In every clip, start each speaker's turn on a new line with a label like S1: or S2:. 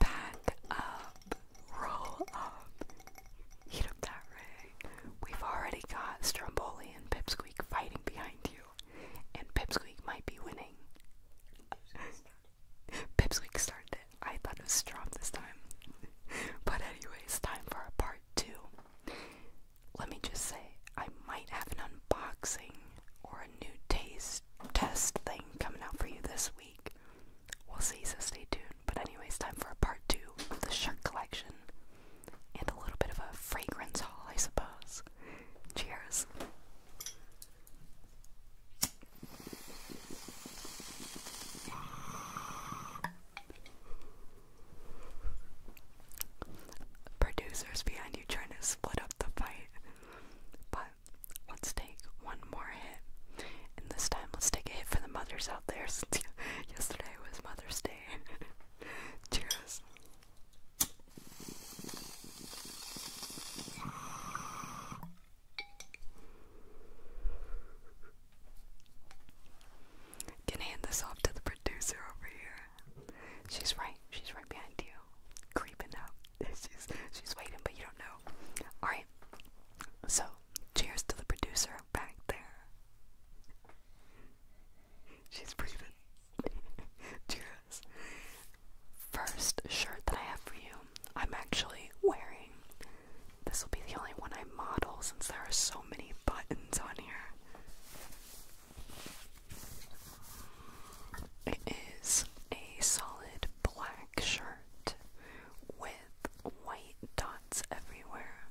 S1: Back up, roll up. Get that ring. We've already got Stromboli and Pipsqueak fighting behind you, and Pipsqueak might be winning. Pipsqueak started I thought it was Strom this time. but anyway, time for a part two. Let me just say, I might have an unboxing or a new taste test thing coming out for you this week. We'll see, so stay tuned. But, anyways, time for a part two of the shirt collection and a little bit of a fragrance haul, I suppose. Cheers. Producers behind you trying to split up the fight, but Let's take one more hit. And this time, let's take a hit for the mothers out there since yesterday was Mother's Day. Cheers. Can hand this off to the producer over here. She's right. She's right behind you creeping out. she's she's waiting, but you don't know. All right. So, cheers to the producer back there. She's breathing. cheers. First shirt that I have for you, I'm actually wearing. This will be the only one I model since there are so many buttons on here. It is a solid black shirt with white dots everywhere.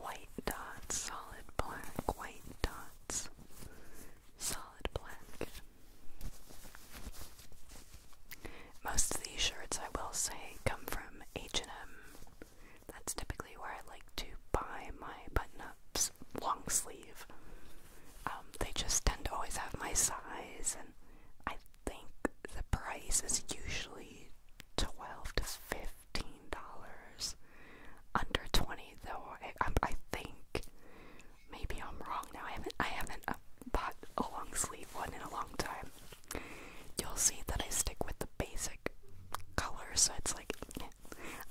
S1: White dots, solid black, white dots, solid black. Most of these shirts, I will say, come from H&M. That's typically where I like to buy my button up long sleeve. Um, they just tend to always have my size, and I think the price is usually twelve to fifteen dollars. Under twenty, though. I, I, think maybe I'm wrong now. I haven't I haven't uh, bought a long sleeve one in a long time. You'll see that I stick with the basic colors like,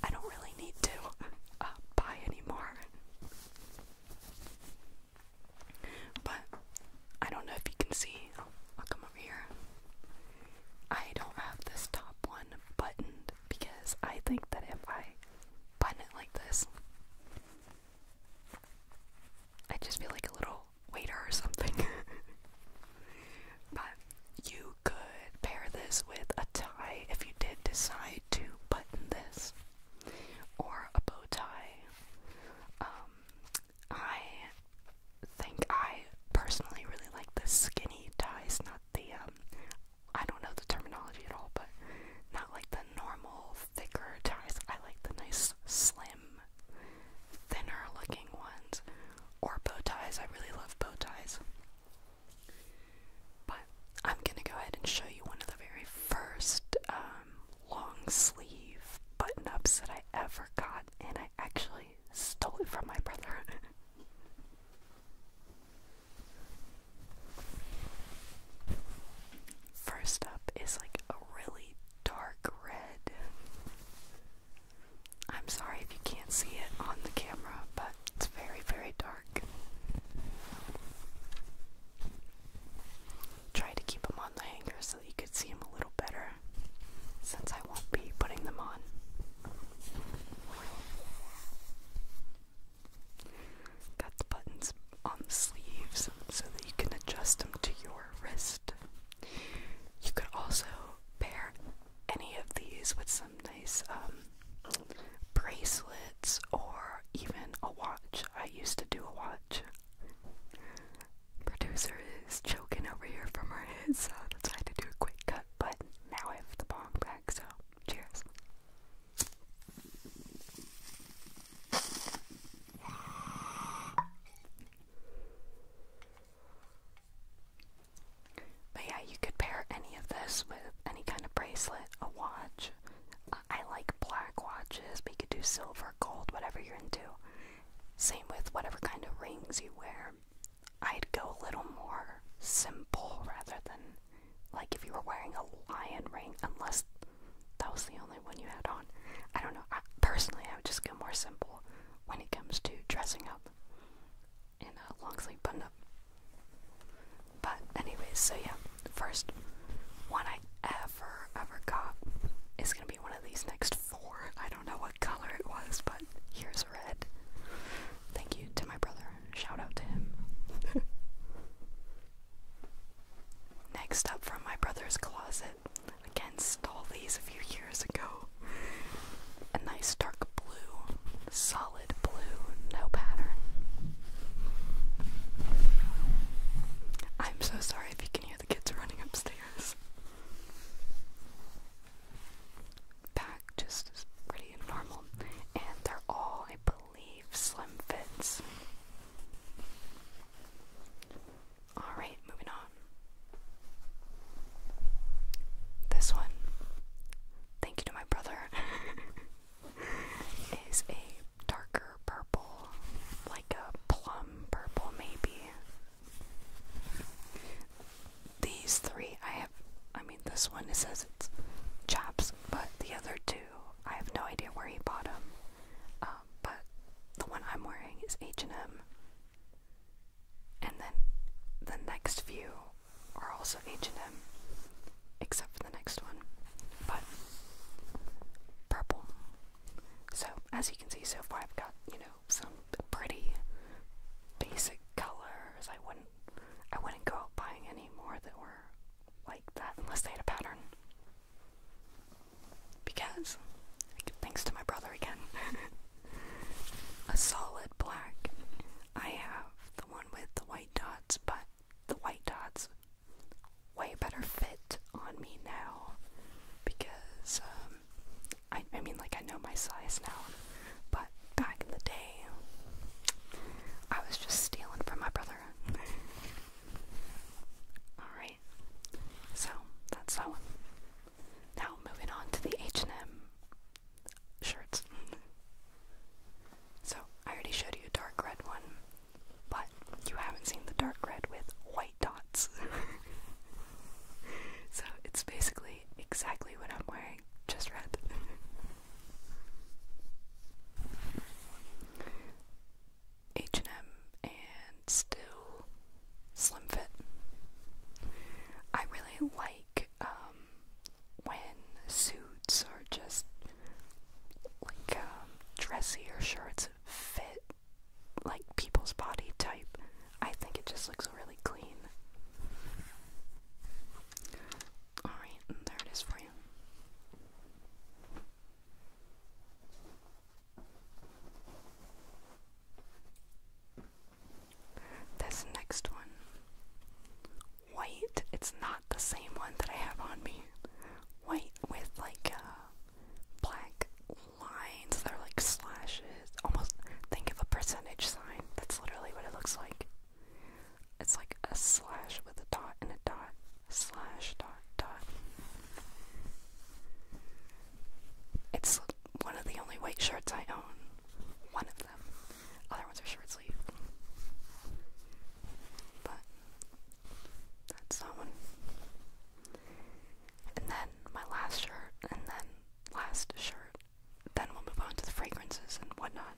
S1: I don't really need to uh, buy anymore. But I don't know if you can see. I'll, come over here. I don't have this top one buttoned because I think that if I button it like this, I just feel like a little waiter or something. but you could pair this with a tie if you did decide to button this, or a bow tie. Um, I think I personally really like the skinny ties, not the, um, I don't know the terminology at all, but not like the normal thicker ties. I like the nice, slim, thinner looking ones, or bow ties. I really love bow ties. But I'm gonna go ahead and show you one of the very first um, long sleeve button ups that I ever got, and I actually stole it from my brother. First up is like a really dark red. I'm sorry if you can't see it on the camera, but it's very, very dark. Try to keep them on the hanger so you could see them a little better since I won't be putting them on. Got the buttons on the sleeves so that you can adjust them to your wrist. You could also pair any of these with some nice um, bracelets or even a watch. I used to do a watch. Producer is choking over here from her head, so that's why I had to do a quick cut. But now I have the bomb back, so cheers. But yeah, you could pair any of this with any kind of bracelet, a watch. I like black watches, but you could do silver, gold, whatever you're into. Same with whatever kind of rings you wear. I'd go a little more simple rather than like if you were wearing a lion ring, unless that was the only one you had on. I don't know. personally, I would just go more simple when it comes to dressing up in a long sleeve button up. But anyways, so yeah, first one I ever ever got is gonna be one of these next four. I don't know what color it was, but here's red. Thank you to my brother. Shout out to him. Next up from my brother's closet. against all these a few years ago a nice dark blue, solid blue, no pattern. I'm so sorry if you can hear the kids running upstairs. Back just is pretty and normal, and they're all, I believe, slim fits. Alright, moving on. This one thank you to my brother, is a darker purple, like a plum purple, maybe. These three, I have, I mean, this one says it's chops, but the other two, I have no idea where he bought them. Um, but the one I'm wearing is H&M. And then the next few are also H&M, except for the next one, but purple. So as you can see so far, I've got you know some pretty basic colors. I wouldn't, I wouldn't go out buying any more that were like that unless they had a pattern. Because, thanks to my brother again, a solid black. I have the one with the white dots, but the white dots way better fit on me now because um, I, I mean, like, I know my size now, but back in the day, I was just stealing from my brother. Alright, so that's that one. Now, moving on to the H&M shirts. so, I already showed you a dark red one, but you haven't seen the dark red with white dots. so, it's basically exactly what I'm wearing, just red. H&M and still slim fit. I really like um, when suits are just like um, dressier shirts fit like people's body type. I think it just looks really clean. Alright, there it is for you. This next one white. It's not the same one that I have on me. White with like uh, black lines. They're like slashes. Almost think of a percentage sign. That's literally what it looks like. It's like a slash with a dot and a dot. Slash dot dot. It's one of the only white shirts I own. One of them. Other ones are short sleeve. But that's that one. And then my last shirt, and then last shirt. Then we'll move on to the fragrances and whatnot.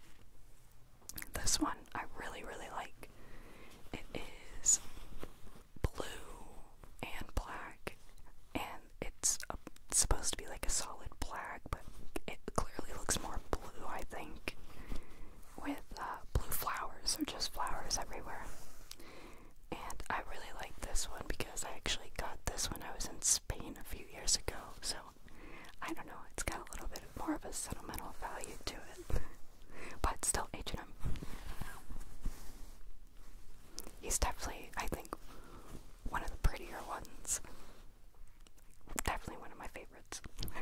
S1: This one I really, really like. It is blue and black, and it's, uh, supposed to be like a solid black, but it clearly looks more blue, I think, with uh, blue flowers or just flowers everywhere. And I really like this one because I actually got this when I was in Spain a few years ago, so I don't know, it's got a little bit more of a sentimental value to it. but still H&M. He's definitely, I think, one of the prettier ones. Definitely one of my favorites.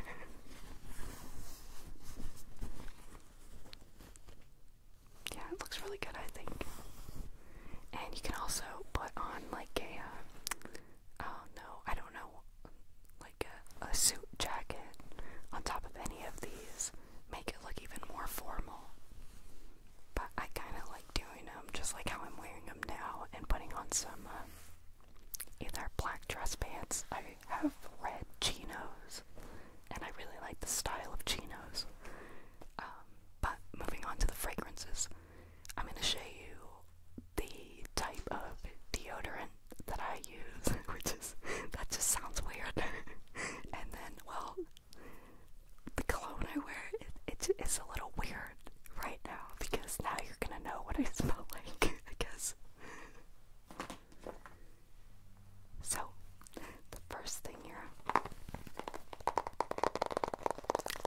S1: yeah, it looks really good, I think. And you can also put on like a, uh, oh no, I don't know, like a, a suit jacket on top of any of these. Make it look even more formal. But I kind of like doing them just like how I'm wearing them now and putting on some uh, either black dress pants. I have red chinos, and I really like the style of chinos. Um, but moving on to the fragrances, I'm going to show you the type of deodorant that I use, which is that just sounds weird. and then, well, the cologne I wear it, it's a little weird right now because now you're gonna know what I smell like, I guess. So, the first thing here, I'm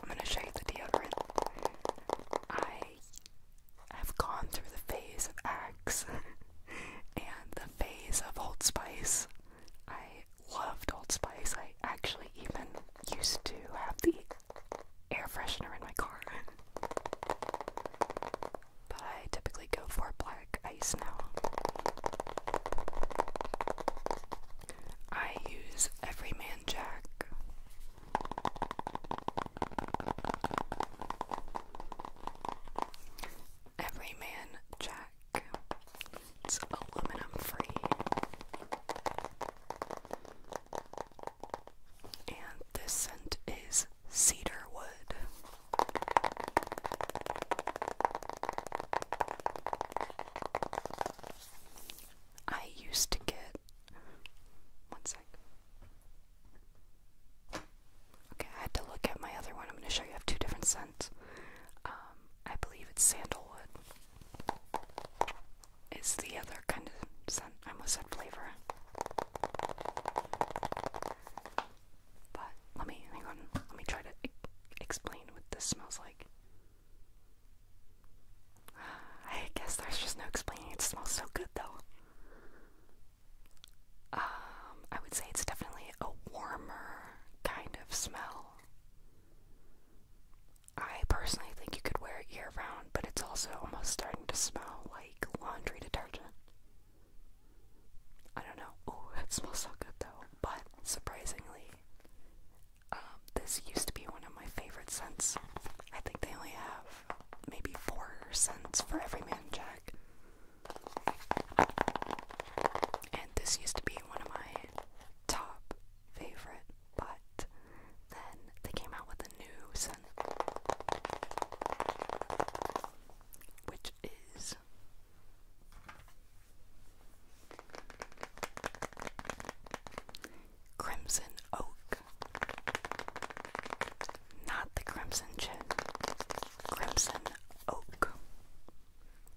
S1: gonna show you the deodorant. I have gone through the phase of Axe and the phase of Old Spice. I loved Old Spice. I actually even used to have the air freshener in my car. But I typically go for black ice now. I use Everyman Jack. Everyman Jack. It's aluminum free. And this scent is cedar wood. I used to get one Okay, I had to look at my other one. I'm going to show you. I have two different scents. Um, I believe it's sandalwood is the other kind of scent. I almost said flavor. But let me Let me try to explain what this smells like. I guess there's just no explaining. It smells so good though. Um, I would say it's definitely a warmer kind of smell. I personally think you could wear it year round, but it's also almost starting to smell like laundry detergent. I don't know. Oh, it smells so good though. But surprisingly, um, this used to be one of my favorite scents. I think they only have maybe four scents for every man jack. And this used to be one of my top favorite but then they came out with a new scent, which is Crimson Oak. Not the Crimson Gin, Crimson Oak.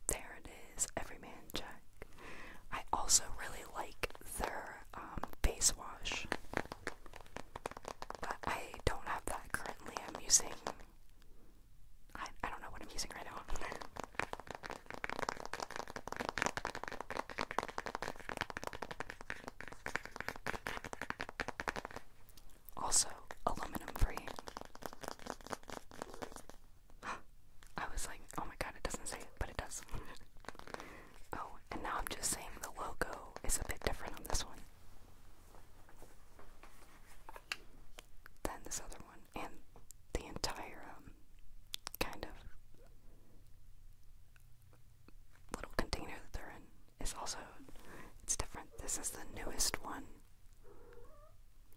S1: There it is, Everyman Jack. I also really like their um, face wash. But I don't have that currently. I'm using. I, I don't know what I'm using right now. Also, aluminum free. I was like, oh my god, it doesn't say but it does. Oh, and now I'm just saying the logo is a bit different on this one than this other one, and the entire um, kind of little container that they're in is also it's different. This is the newest one,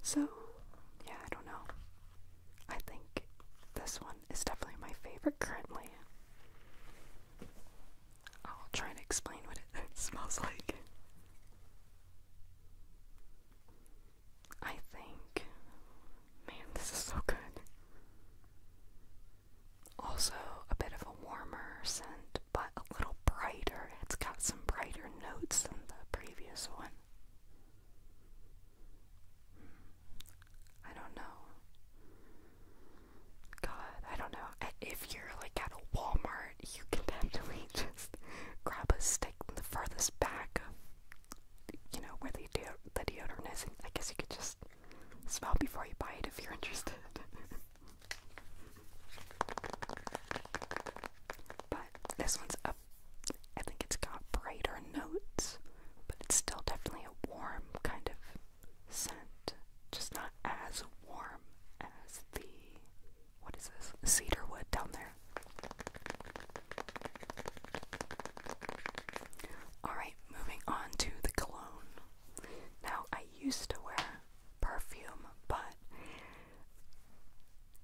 S1: so yeah, I don't know. I think this one it's definitely my favorite currently. I'll try and explain what it smells like. I think, man, this is so good. Also, a bit of a warmer scent, but a little brighter. It's got some brighter notes than the previous one. I don't know. God, I don't know. If you're like at a Walmart, you can definitely just grab a stick in the furthest back you know, where the, de the deodorant is. And I guess you could just smell before you buy it if you're interested. but this one's up. I think it's got brighter notes, but it's still definitely a warm kind of scent, just not as warm as the what is this cedar wood down there. Alright, moving on to the cologne. Now, I used to wear perfume, but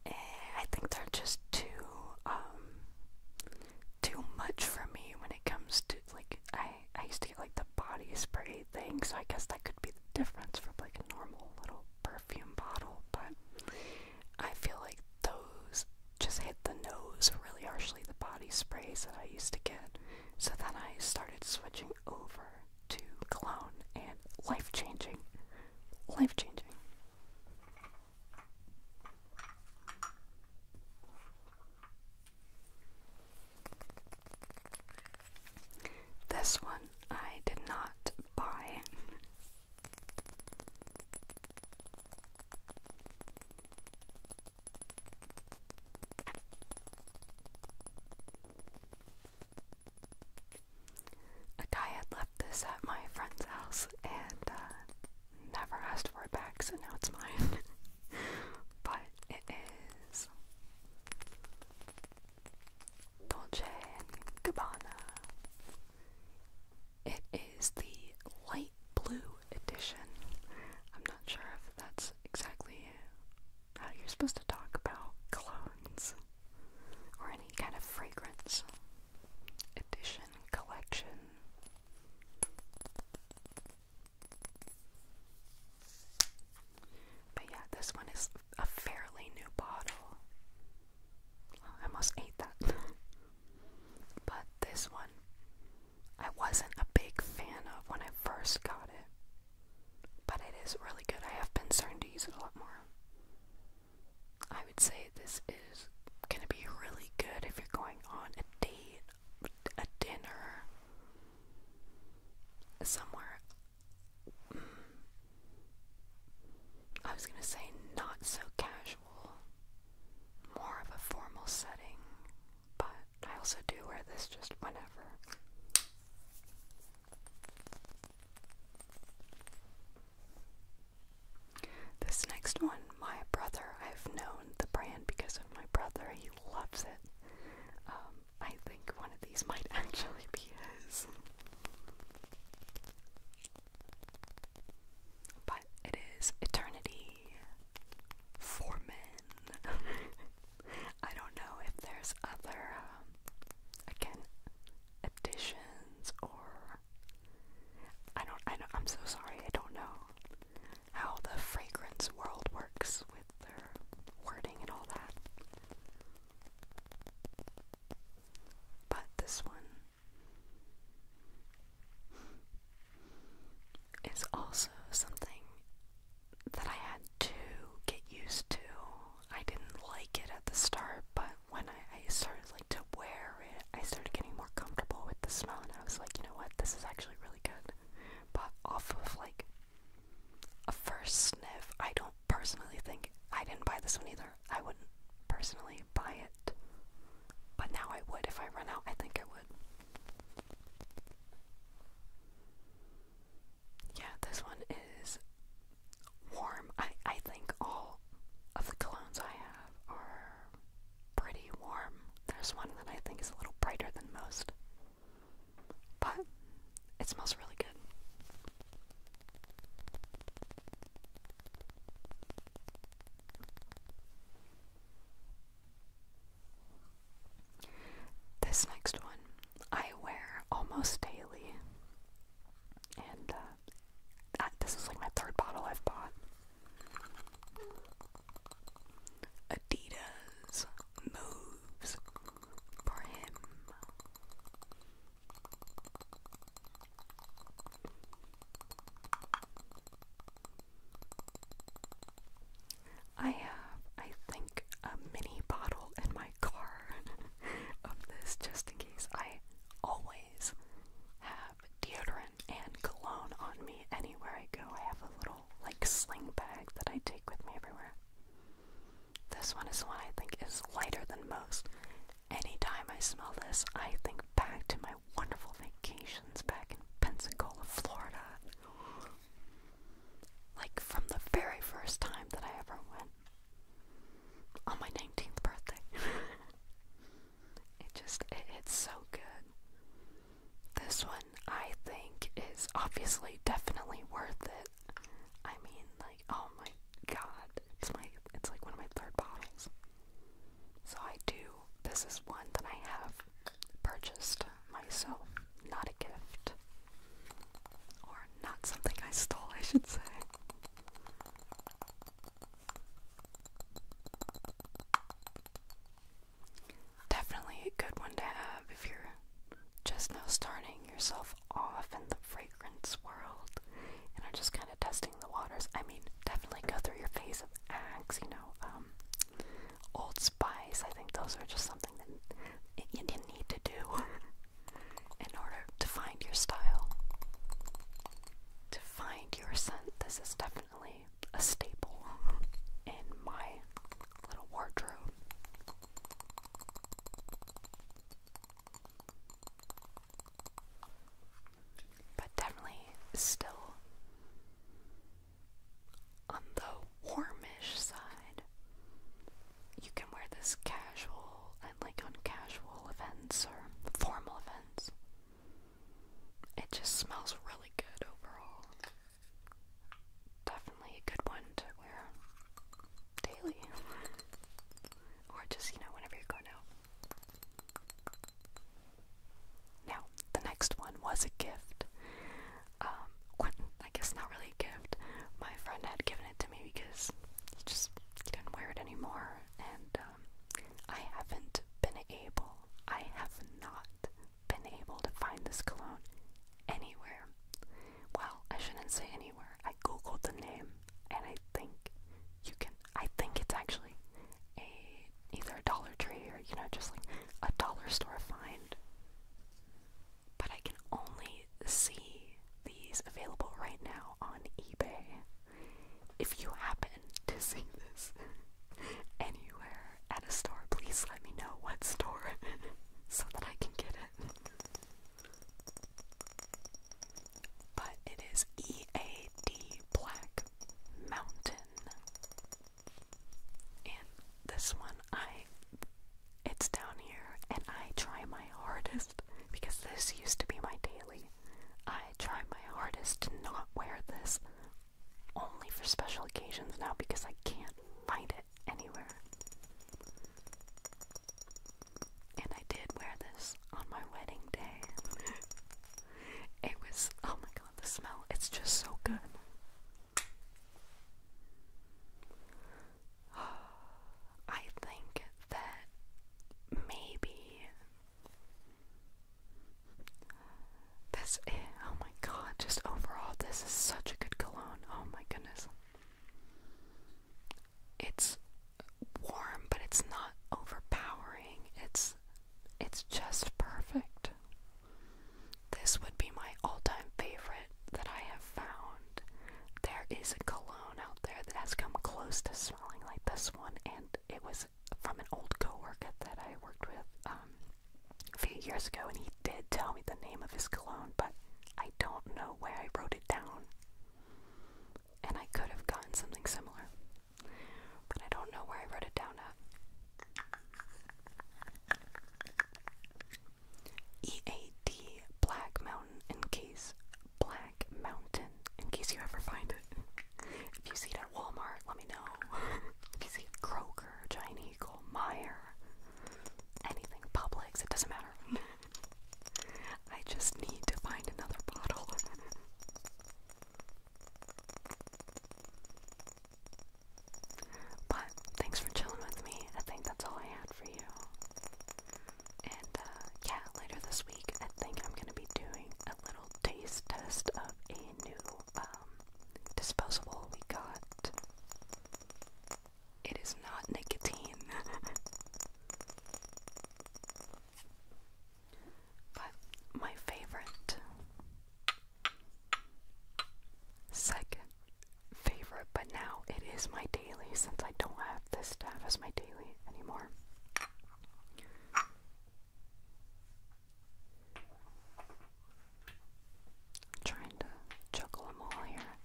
S1: eh, I think they're just too um, too much for me when it comes to like I I used to get like the body spray thing, so I guess that could be the difference from like a normal little perfume bottle, but I feel like those just hit the nose really harshly, the body sprays that I used to get. So then I started switching over to clone and life changing. Life changing. This one I did not buy. A guy had left this at my friend's house and uh, never asked for it back, so now it's mine. but it is Dolce & Gabbana. It is the light blue edition. I'm not sure if that's exactly how you're supposed to talk about clones or any kind of fragrance edition collection. But yeah, this one is a fairly new bottle. I must eat that. but this one, I wasn't a big fan of when I first got it. But it is really good. I have been starting to use it a lot more. I would say this is gonna be really good if you're going on a date a dinner somewhere. Mm. I was gonna say not so casual, more of a formal setting, but I also do wear this just whenever. This next one my brother. I've known the brand because of my brother. He loves it. Um, I think one of these might actually be his. But it is Eternity for Men. I don't know if there's other, um, again, editions or. I don't. I know. I'm so sorry. I don't know how the fragrance world works with their wording and all that. But this one is also something that I had to get used to. I didn't like it at the start, but when I, I started like to wear it, I started getting more comfortable with the smell and I was like, you know what, this is actually really good but off of like a first sniff, I don't personally think I didn't buy this one either. I wouldn't personally buy it, but now I would if I run out. I think I would. Yeah, this one is warm. I I think all of the colognes I have are pretty warm. There's one that I think is a little brighter than most. But it smells really good. This next one I wear almost daily, and uh, this is like my third bottle I've bought. Adidas moves for him. I have, I think, a mini bottle in my car of this just in case. I always have deodorant and cologne on me anywhere I go. I have a little like sling bag that I take with me everywhere. This one is the one I think is lighter than most. Anytime I smell this, I think back to my wonderful vacations back in Pensacola, Florida. Like from the very first time that I ever went on my 19th birthday. it just, it's so good. This one I think is obviously definitely worth it. I mean, like, oh my god, it's my it's like one of my third bottles. So I do. This is one that I have purchased myself, not a gift. Or not something I stole, I should say. Definitely a good one to have if you're just now starting yourself off in the fragrance world and are just kind of testing the waters. I mean, definitely go through your phase of Axe, you know, um, Old Spice. I think those are just something that you need to do in order to find your style, to find your scent. This is definitely definitely a staple in my little wardrobe. But definitely still on the warmish side. You can wear this casual and like on casual events or formal events. It just smells really good overall. Definitely a good one to wear daily. or just, you know, whenever you're out. Now, the next one was a gift. Um, I guess not really a gift. My friend had given it to me because he just didn't wear it anymore. And um, I haven't been able, I have not been able to find this cologne anywhere. Well, I shouldn't say anywhere. I googled the name and I think you can I think it's actually a either a Dollar Tree or you know just like a dollar store find. But I can only see these available right now on eBay. If you happen to see this anywhere, at a store, please let me know what store so that I can get it. But it is EAD Black Mountain. And this one I it's down here and I try my hardest because this used to be my daily. I try my hardest to not wear this only for special occasions now because I can't find it anywhere. And I did wear this on my wedding day. it was, oh my god, the smell, it's just so good. I think that maybe this is, eh, oh my god, just overall, this is such a good cologne. Oh my goodness. It's warm, but it's not overpowering. It's it's just perfect. This would be my all-time favorite that I have found. There is a cologne out there that has come close to smelling like this one, and it was from an old coworker that I worked with um, a few years ago, and he did tell me the name of his cologne, but I don't know where I wrote it down. And I could have gotten something similar, but I don't know where I wrote it down at. EAD Black Mountain in case Black Mountain in case you ever find it. If you see it at Walmart, let me know. if you see it at Giant Eagle, Meyer, anything, Publix, it doesn't matter. I just need to find another bottle. but thanks for chilling with me. I think that's all I had for you. And uh, yeah, later this week, I think I'm gonna be doing a little taste test of a new um, disposable we got it is not nicotine. but my favorite, second favorite, but now it is my daily since I don't have this to as my daily anymore trying to juggle them all here.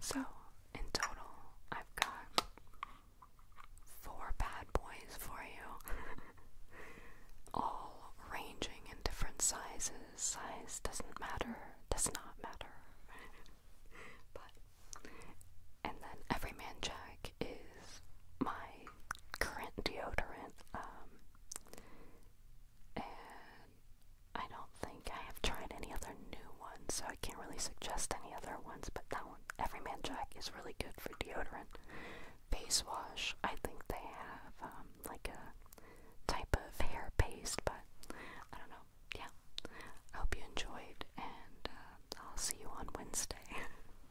S1: So, in total, I've got four bad boys for you, all ranging in different sizes. Size doesn't matter, does not matter. but, and then Everyman Jack is my current deodorant, um, and I don't think I have tried any other new ones, so I can't really suggest any other ones, but that one, Everyman Jack, is really good for deodorant. Face wash, I think they have, um, like a type of hair paste, but I don't know. Yeah. I hope you enjoyed, and uh, I'll see you on Wednesday.